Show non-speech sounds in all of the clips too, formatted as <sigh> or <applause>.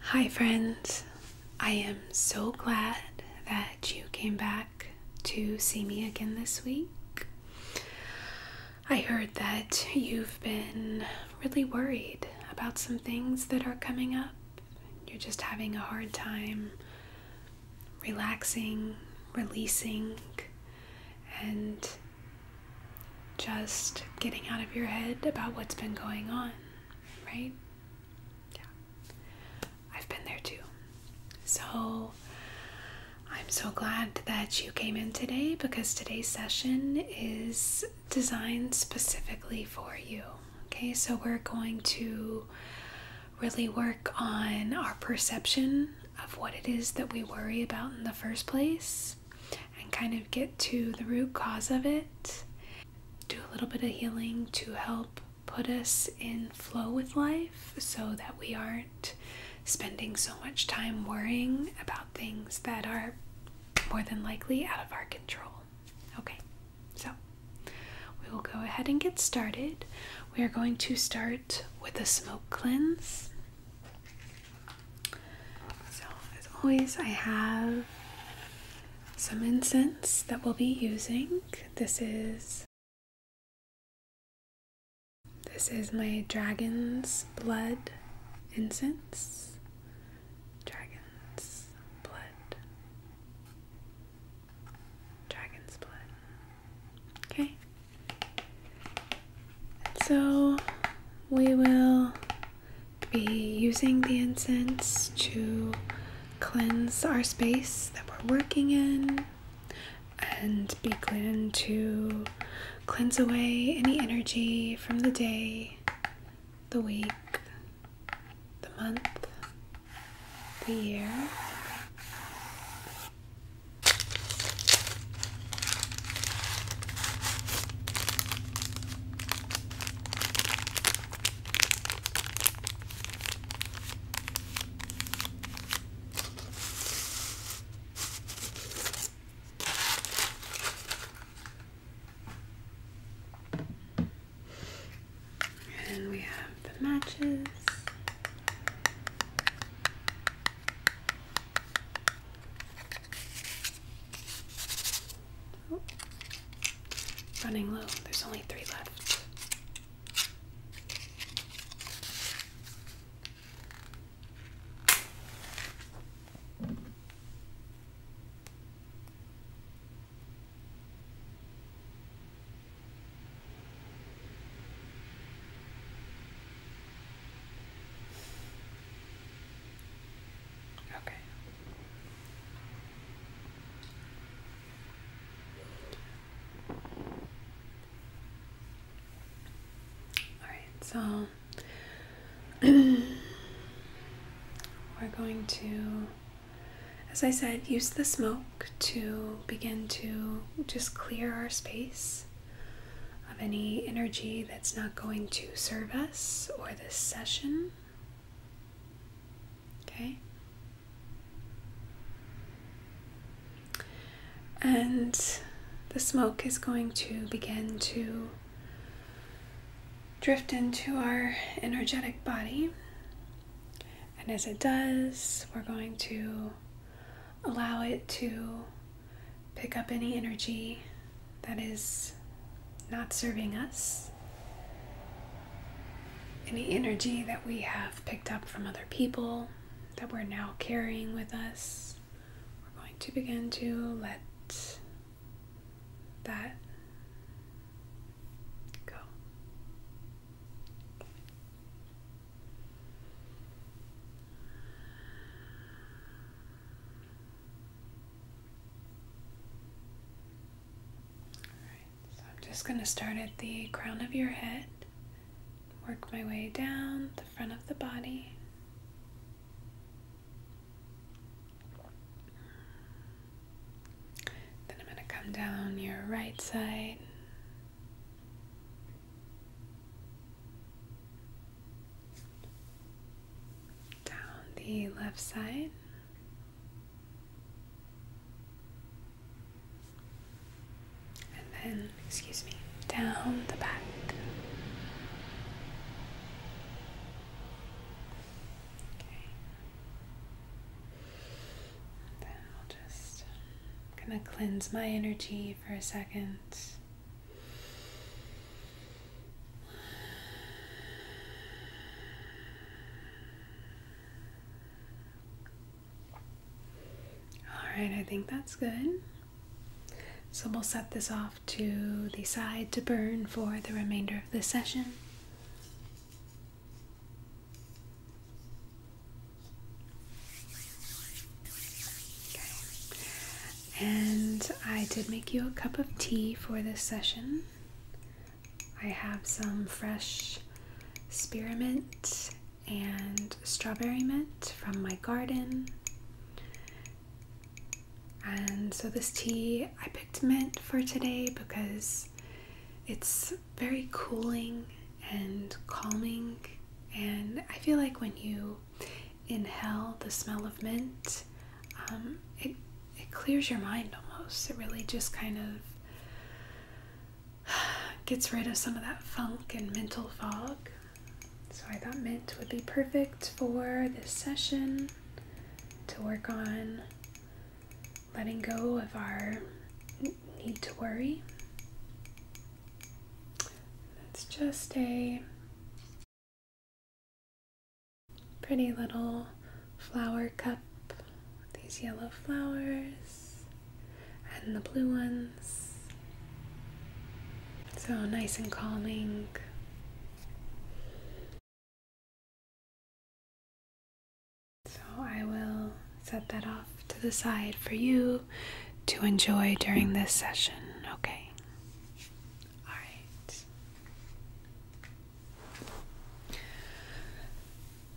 Hi, friends. I am so glad that you came back to see me again this week. I heard that you've been really worried about some things that are coming up. You're just having a hard time relaxing, releasing and just getting out of your head about what's been going on, right? Yeah. I've been there too. So I'm so glad that you came in today because today's session is designed specifically for you. Okay, so we're going to really work on our perception of what it is that we worry about in the first place and kind of get to the root cause of it. Do a little bit of healing to help put us in flow with life so that we aren't spending so much time worrying about things that are more than likely out of our control. Okay, so we will go ahead and get started. We are going to start with a smoke cleanse. So, as always, I have some incense that we'll be using. This is this is my dragon's blood incense. Dragon's blood. Dragon's blood. Okay. And so we will be using the incense to cleanse our space that we're working in and be begin to cleanse away any energy from the day, the week, the month, the year. And we have the matches. Oh. Running low, there's only three left. Okay. All right, so <clears throat> we're going to, as I said, use the smoke to begin to just clear our space of any energy that's not going to serve us or this session. Okay? And the smoke is going to begin to drift into our energetic body. And as it does, we're going to allow it to pick up any energy that is not serving us, any energy that we have picked up from other people that we're now carrying with us. We're going to begin to let that go so I'm just going to start at the crown of your head, work my way down the front of the body. Then I'm going to come down your right side down the left side. And then, excuse me, down the back. Okay then I'll just am gonna cleanse my energy for a second. All right, I think that's good. So we'll set this off to the side to burn for the remainder of this session. And I did make you a cup of tea for this session. I have some fresh spearmint and strawberry mint from my garden. And so this tea, I picked mint for today because it's very cooling and calming and I feel like when you inhale the smell of mint um, it it clears your mind almost it really just kind of <sighs> gets rid of some of that funk and mental fog so I thought mint would be perfect for this session to work on letting go of our need to worry. It's just a pretty little flower cup with these yellow flowers and the blue ones. So nice and calming. So I will set that off to the side for you to enjoy during this session, okay? All right.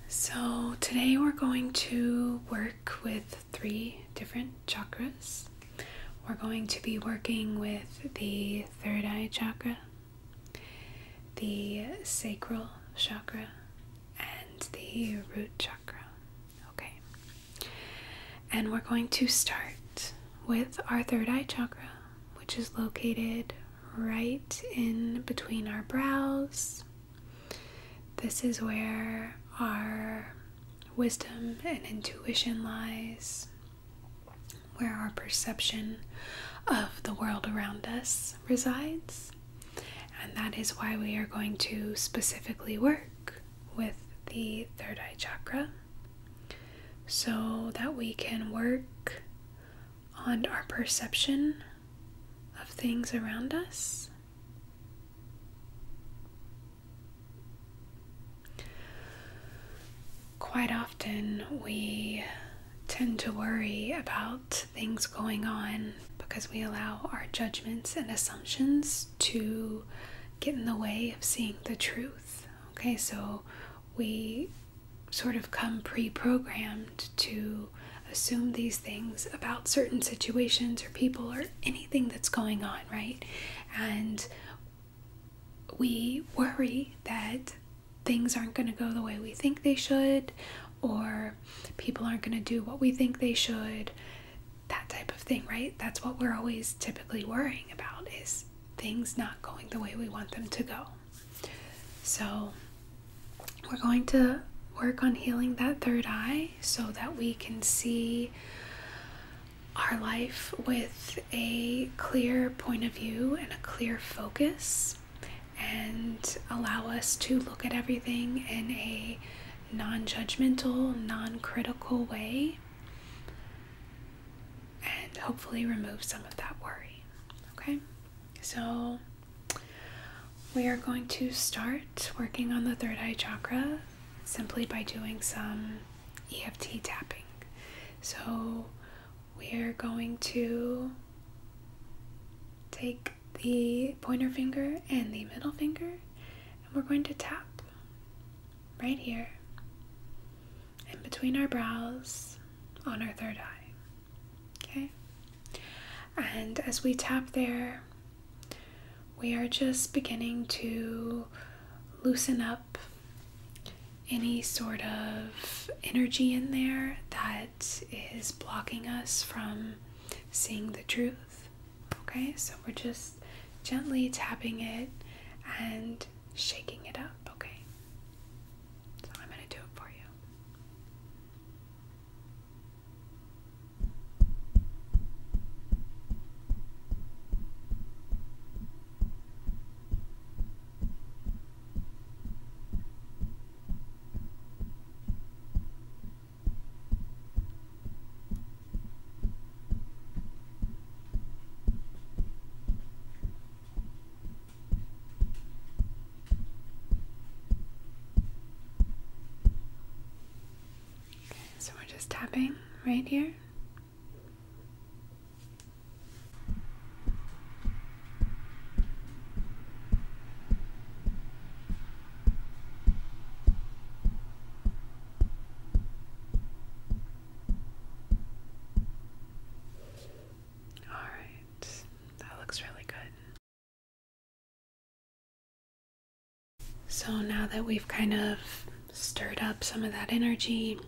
So today we're going to work with three different chakras. We're going to be working with the third eye chakra, the sacral chakra, and the root chakra. Okay. And we're going to start with our third eye chakra, which is located right in between our brows. This is where our wisdom and intuition lies, where our perception of the world around us resides. And that is why we are going to specifically work with the third eye chakra so that we can work on our perception of things around us. Quite often, we tend to worry about things going on because we allow our judgments and assumptions to get in the way of seeing the truth. Okay, so we sort of come pre programmed to assume these things about certain situations or people or anything that's going on, right? And we worry that things aren't going to go the way we think they should, or people aren't going to do what we think they should, that type of thing, right? That's what we're always typically worrying about is things not going the way we want them to go. So, we're going to work on healing that third eye so that we can see our life with a clear point of view and a clear focus and allow us to look at everything in a non judgmental, non critical way, and hopefully remove some of that worry. Okay, so we are going to start working on the third eye chakra simply by doing some EFT tapping. So we're going to take the pointer finger and the middle finger and we're going to tap right here in between our brows on our third eye. Okay? And as we tap there, we are just beginning to loosen up any sort of energy in there that is blocking us from seeing the truth. Okay, so we're just gently tapping it and shaking it up. Okay, so I'm going to do it for you. Okay, so we're just tapping right here. All right, that looks really good. So now that we've kind of stirred up some of that energy,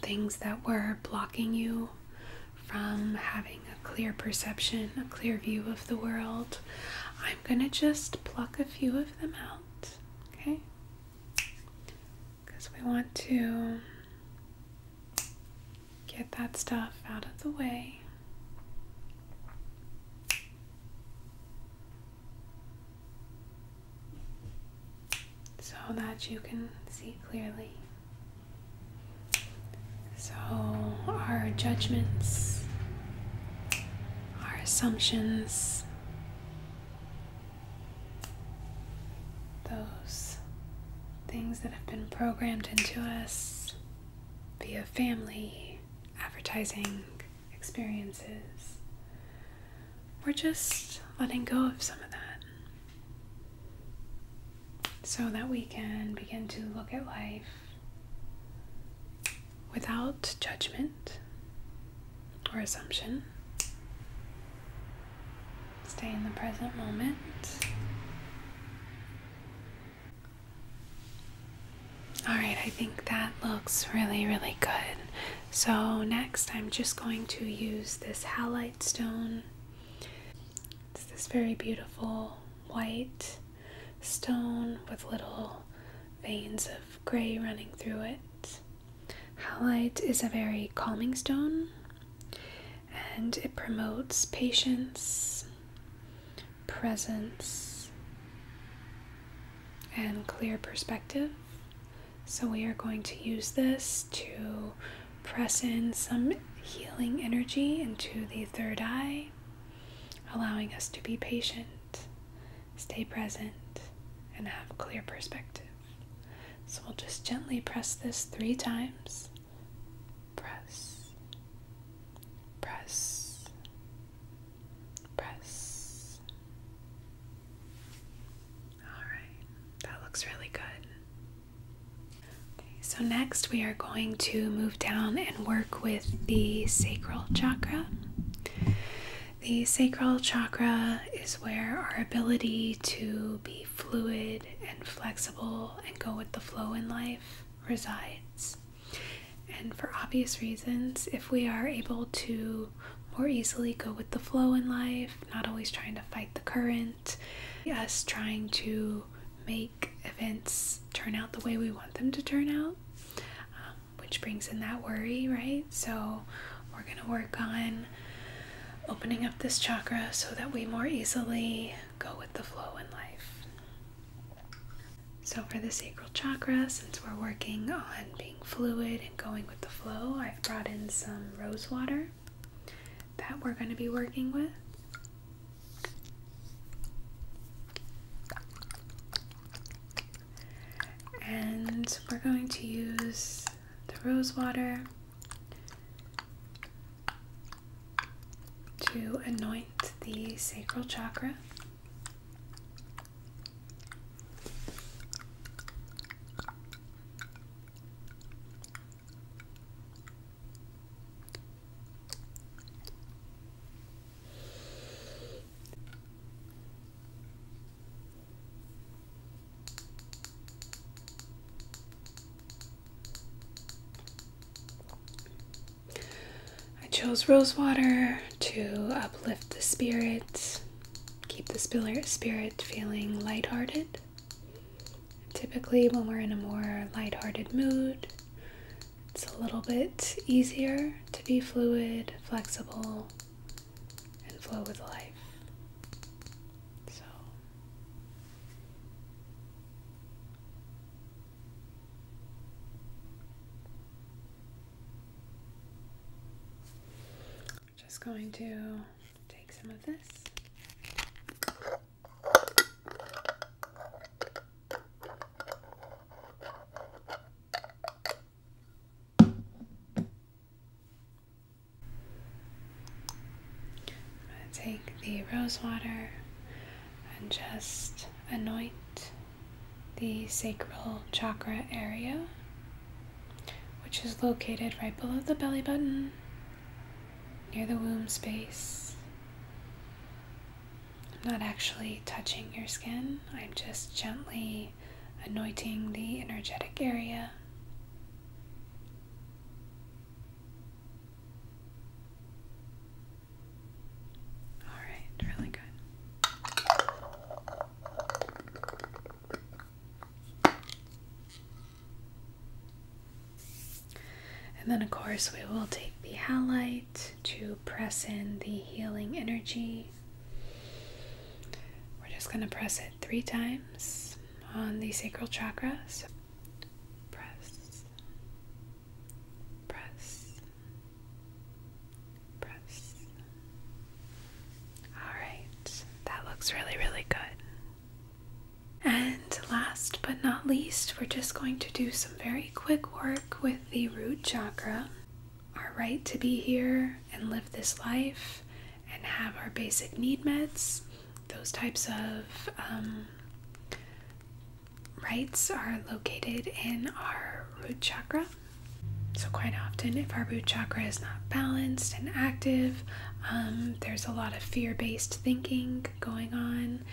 things that were blocking you from having a clear perception, a clear view of the world. I'm going to just pluck a few of them out, okay? Because we want to get that stuff out of the way. So that you can see clearly. So, our judgments, our assumptions, those things that have been programmed into us via family, advertising, experiences, we're just letting go of some of that so that we can begin to look at life without judgment or assumption. Stay in the present moment. All right, I think that looks really, really good. So, next, I'm just going to use this halite stone it's this very beautiful white stone with little veins of gray running through it. Halite is a very calming stone and it promotes patience, presence, and clear perspective. So, we are going to use this to press in some healing energy into the third eye, allowing us to be patient, stay present, and have clear perspective. So, we'll just gently press this three times. Press, press, press. Alright, that looks really good. Okay, so, next we are going to move down and work with the sacral chakra. The sacral chakra is where our ability to be fluid and flexible and go with the flow in life resides. And for obvious reasons, if we are able to more easily go with the flow in life not always trying to fight the current, us trying to make events turn out the way we want them to turn out, um, which brings in that worry, right? So, we're going to work on opening up this chakra so that we more easily go with the flow in life. So, for the sacral chakra, since we're working on being fluid and going with the flow, I've brought in some rose water that we're going to be working with. And we're going to use the rose water to anoint the sacral chakra. I chose rose water to uplift the spirit, keep the spirit feeling lighthearted Typically, when we're in a more lighthearted mood, it's a little bit easier to be fluid, flexible, and flow with life. So, just going to take some of this. take the rosewater and just anoint the sacral chakra area which is located right below the belly button, near the womb space. I'm not actually touching your skin, I'm just gently anointing the energetic area. All right, really good. And then, of course, we will take the halite to press in the healing energy. We're just going to press it three times on the sacral chakra. press, press, press, Alright, that looks really, really good. And last but not least, we're just going to do some very quick work with the root chakra. Our right to be here and live this life and have our basic need meds. Those types of um, rights are located in our root chakra. So, quite often, if our root chakra is not balanced and active, um, there's a lot of fear based thinking going on,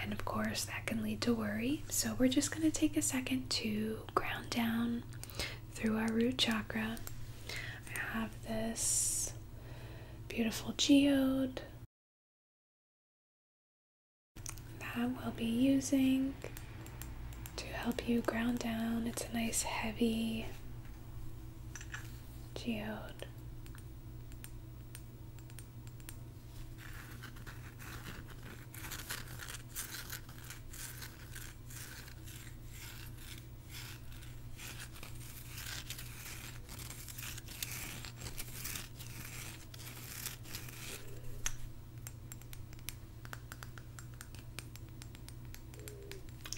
and of course, that can lead to worry. So, we're just going to take a second to ground down through our root chakra. I have this beautiful geode that we'll be using to help you ground down. It's a nice heavy Geode.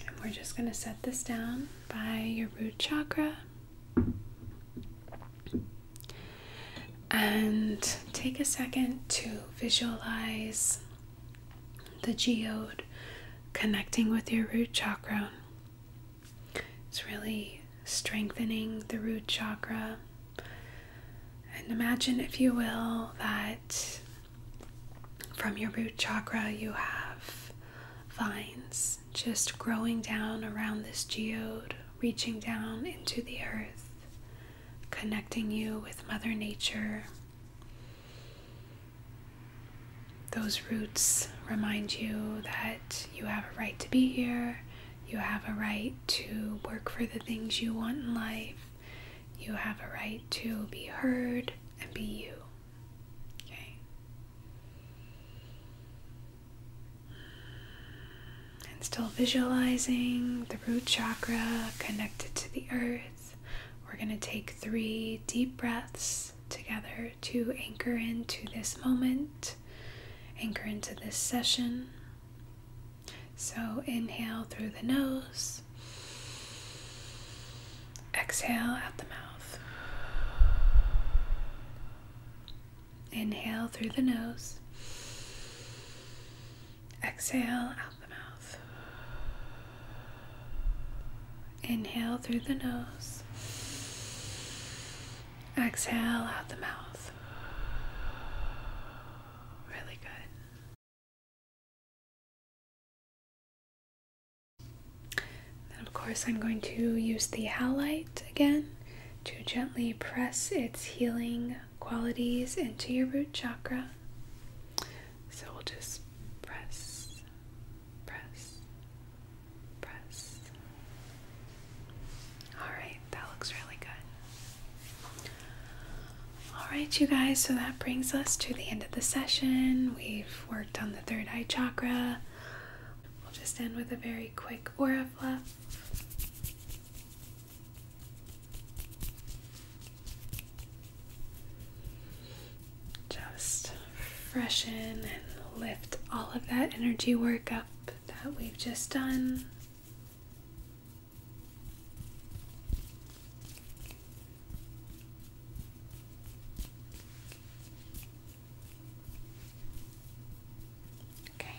And we're just going to set this down by your root chakra. And take a second to visualize the geode connecting with your root chakra. It's really strengthening the root chakra. And imagine, if you will, that from your root chakra, you have vines just growing down around this geode, reaching down into the earth, connecting you with Mother Nature. Those roots remind you that you have a right to be here, you have a right to work for the things you want in life. You have a right to be heard and be you. Okay? And still visualizing the root chakra connected to the earth. We're going to take three deep breaths together to anchor into this moment, anchor into this session. So inhale through the nose. Exhale out the mouth. Inhale through the nose. Exhale out the mouth. Inhale through the nose. Exhale out the mouth. Really good. Then of course I'm going to use the halite again to gently press its healing qualities into your root chakra. So we'll just press, press, press. All right, that looks really good. Alright, you guys, so that brings us to the end of the session. We've worked on the third eye chakra. We'll just end with a very quick aura flap, Just freshen and lift all of that energy work up that we've just done. Okay,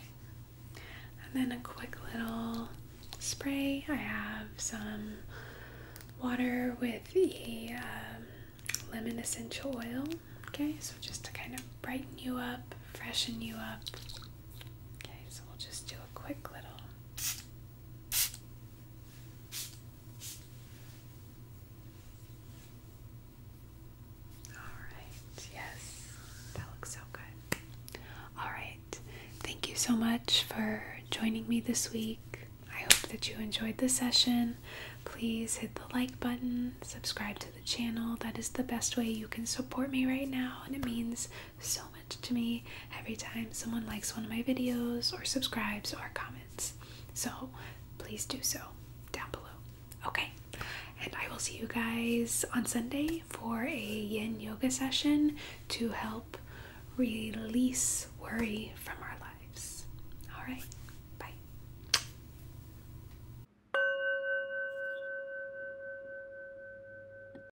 and then a quick little spray. I have some water with the um, lemon essential oil. Okay, so just to kind of brighten you up, freshen you up. Okay, so we'll just do a quick little Alright, yes, that looks so good. Alright, thank you so much for joining me this week. I hope that you enjoyed the session. Please hit the like button, subscribe to the channel. That is the best way you can support me right now, and it means so much to me every time someone likes one of my videos or subscribes or comments. So please do so down below. Okay, and I will see you guys on Sunday for a yin yoga session to help release worry from our lives. All right, bye.